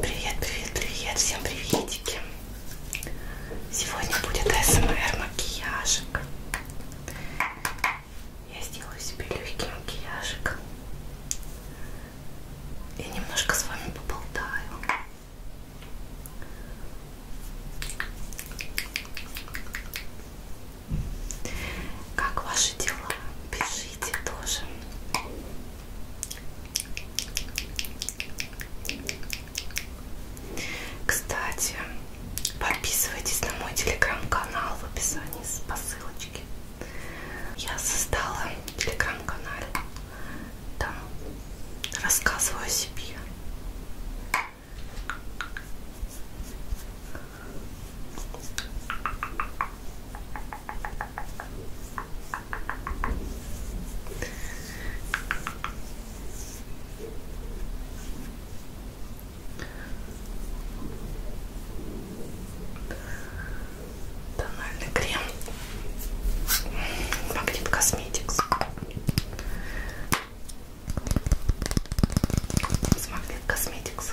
Привет, привет, привет, всем приветики. Сегодня будет АСМР макияжик. Я сделаю себе легкий макияжик. И немножко с вами поболтаю. Как ваши дела? Пишите тоже. Кстати, подписывайтесь на мой телеграм-канал в описании по ссылочке. Я создала телеграм-канал. Там рассказываю о себе. Тональный крем Магнит Косметикс с Магнит Косметикс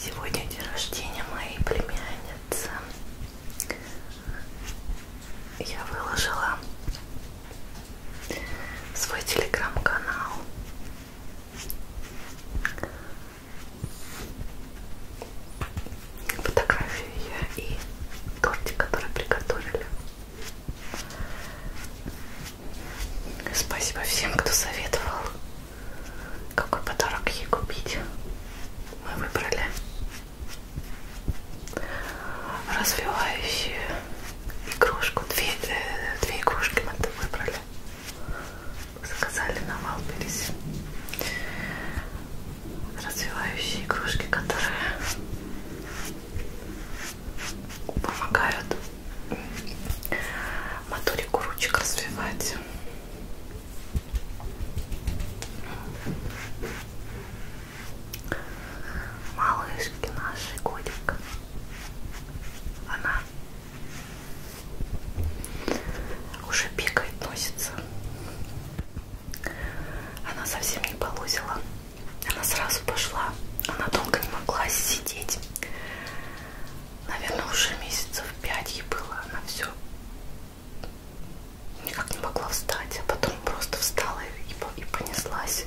Сегодня день рождения моей племянницы. Я выложила свой телеграм-канал. Фотографию я и тортик, который приготовили. Спасибо всем, кто советовал, какой подарок ей купить. Мы выбрали развивающую игрушку. Две, э, две игрушки мы выбрали. Заказали на Валберис развивающие игрушки, которые помогают моторику ручек развивать. Малышки наши годик. Она уже бегает, носится. Она совсем не полозила. Она сразу пошла. Она долго не могла сидеть наверное, уже месяцев пять ей было, она все никак не могла встать, а потом просто встала и, и понеслась.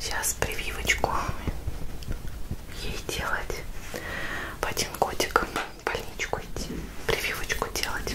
Сейчас прививочку ей делать. В один годик в больничку идти, прививочку делать.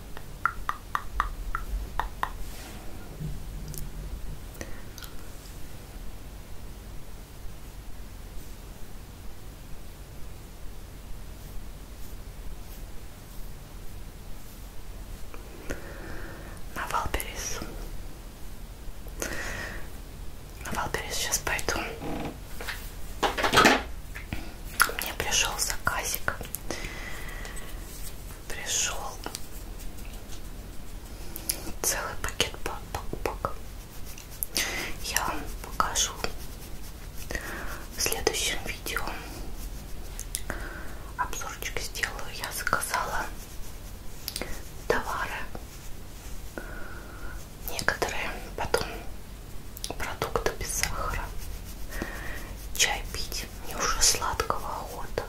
На Валберис. На Валберис сейчас пойду. Мне пришел заказик пришел целый пакет покупок. Я вам покажу в следующем видео. Обзорчик сделаю. Я заказала товары некоторые, потом продукты без сахара. Чай пить. Мне уже сладкого охота.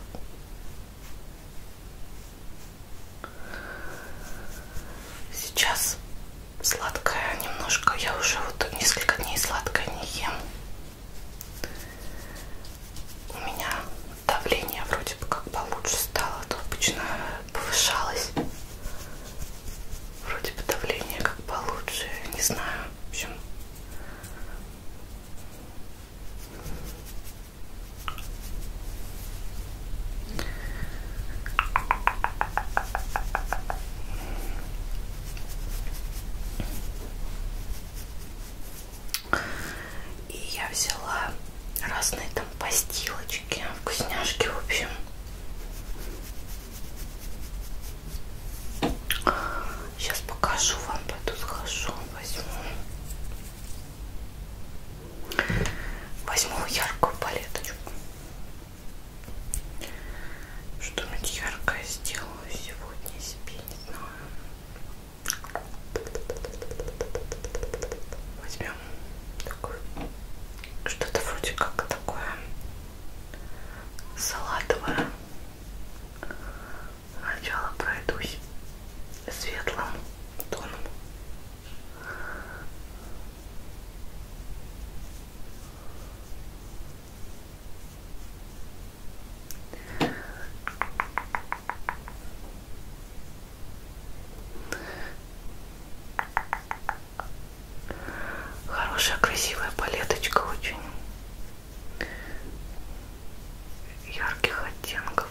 Сейчас сладкое немножко. Я уже вот несколько дней сладкое не ем. У меня давление вроде бы как получше стало, а то обычно повышалось. Вроде бы давление как получше, не знаю. В общем, и я взяла разные там постилочки, вкусняшки, в общем. Сейчас покажу вам, пойду схожу, возьму. Возьму яркую палеточку. Что-нибудь яркое сделаю сегодня себе, не знаю. Возьмем такое. Что-то вроде как такое салатовая. Сначала пройдусь светлым тоном. Хорошая, красивая палеточка очень ярких оттенков.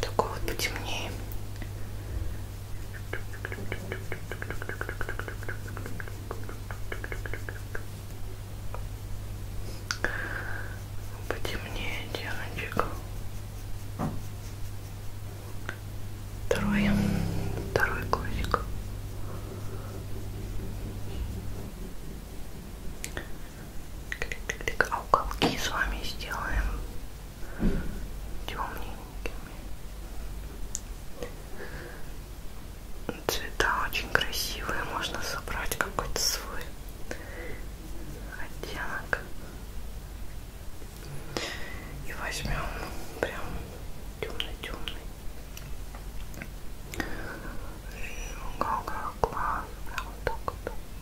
Такой вот потемнее. Потемнее, девочек. Второй, второй глазик. Клик-клик. А уголки с вами сделаем темненькими. Цвета очень красивые. Можно собрать какой-то свой оттенок. И возьмем прям темный-темный. И уголка глаз прям вот так вот.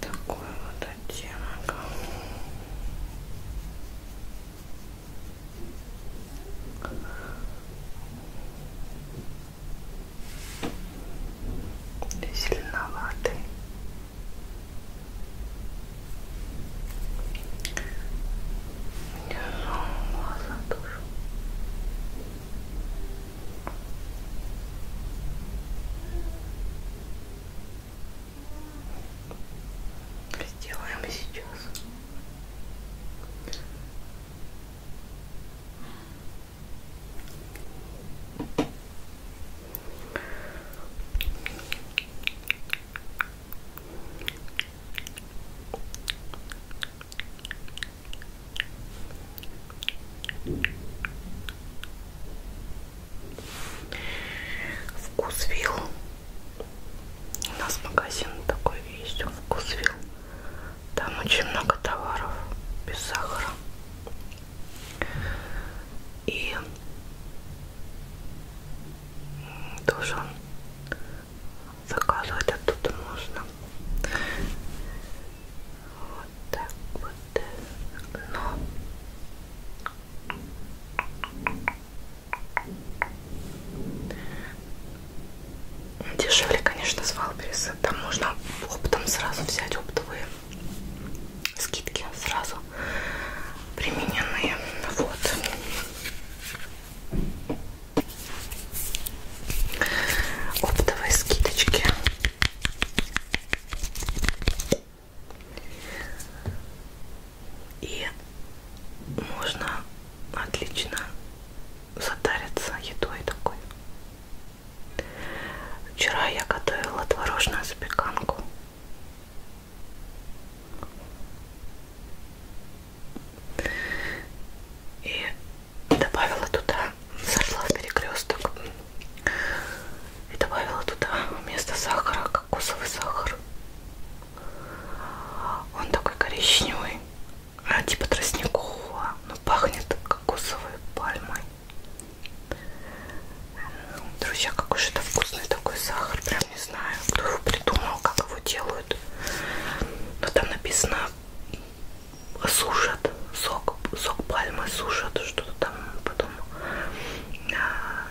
такой вот оттенок зеленоватый у меня глаза тоже Сделаем сейчас. Вкусвилл. У нас магазин такой есть, Вкусвилл. Там очень много товаров без сахара. И тоже заказывать оттуда можно вот так вот, но дешевле, конечно, с Валбериса. Там можно оптом сразу взять оптовые скидки, сразу примененные. Вот оптовые скидочки. И можно отлично затариться едой такой. Вчера я готовила творожную запеканку. И добавила туда, зашла в перекресток и добавила туда вместо сахара кокосовый сахар. Он такой коричневый, а типа тростникового, но пахнет кокосовой пальмой. Ну, друзья, какой же это вкусный такой сахар, прям не знаю, кто его придумал, как его делают. Но там написано сушат сок, сок пальмы сушат, что-то там потом, а,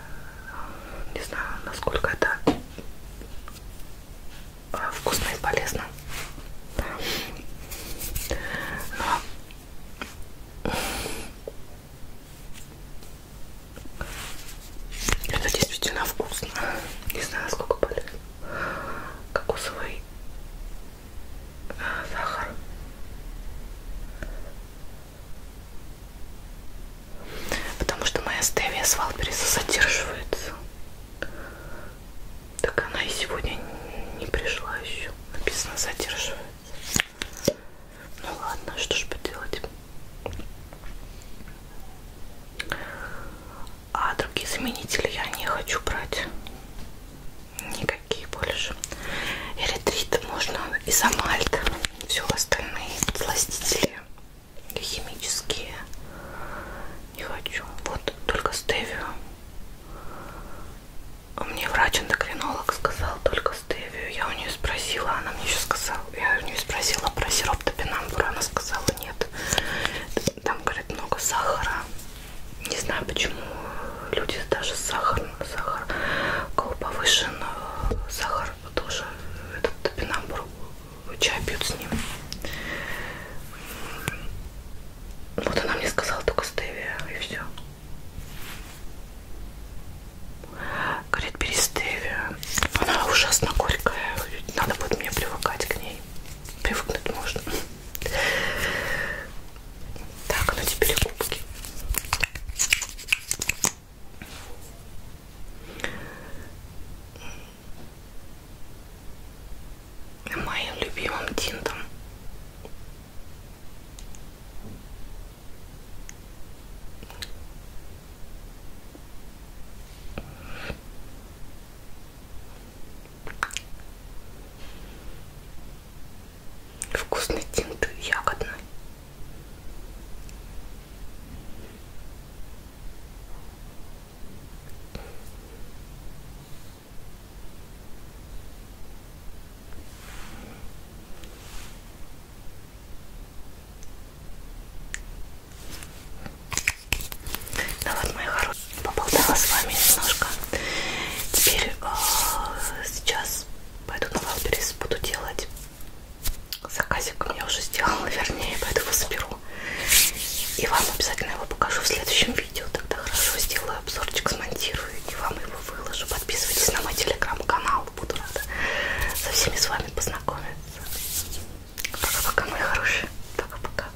не знаю, насколько это а, вкусно и полезно. Но это действительно вкусно. Не знаю, сколько полезно. Кокосовый сахар. Потому что моя стевия с Валбериса задерживается. Так она и сегодня не пришла еще. Написано задерживается. Ну ладно, что ж поделать. А другие заменители я не хочу брать никакие больше. Эритрит можно и замальт, все остальные сластители химические не хочу. Вот только стевию. Мне врач-эндокринолог сказал только стевию. Я у нее спросила, она мне еще сказала, я у нее спросила про сироп топинамбура, она сказала нет. Там, говорит, много сахара. Не знаю, почему люди даже сахар, сахар, у кого повышен э, сахар, тоже этот топинамбур, чай пьют с ним. Вот она мне сказала только стевия, и все. Говорит, бери стевию. Она ужасно горькая. Надо будет мне привыкать к ней. Привыкнуть можно. Так, ну теперь губки. Моим любимым тинтом. Вкусный тинт ягодный. Ну вот, мои хорошие, поболтала с вами немножко. Теперь э, сейчас пойду на Валберис, буду делать заказик. Я уже сделала, вернее, поэтому заберу. И вам обязательно его покажу в следующем видео. Тогда хорошо сделаю обзорчик, смонтирую и вам его выложу. Подписывайтесь на мой телеграм-канал. Буду рада со всеми с вами познакомиться. Пока-пока, мои хорошие. Пока-пока.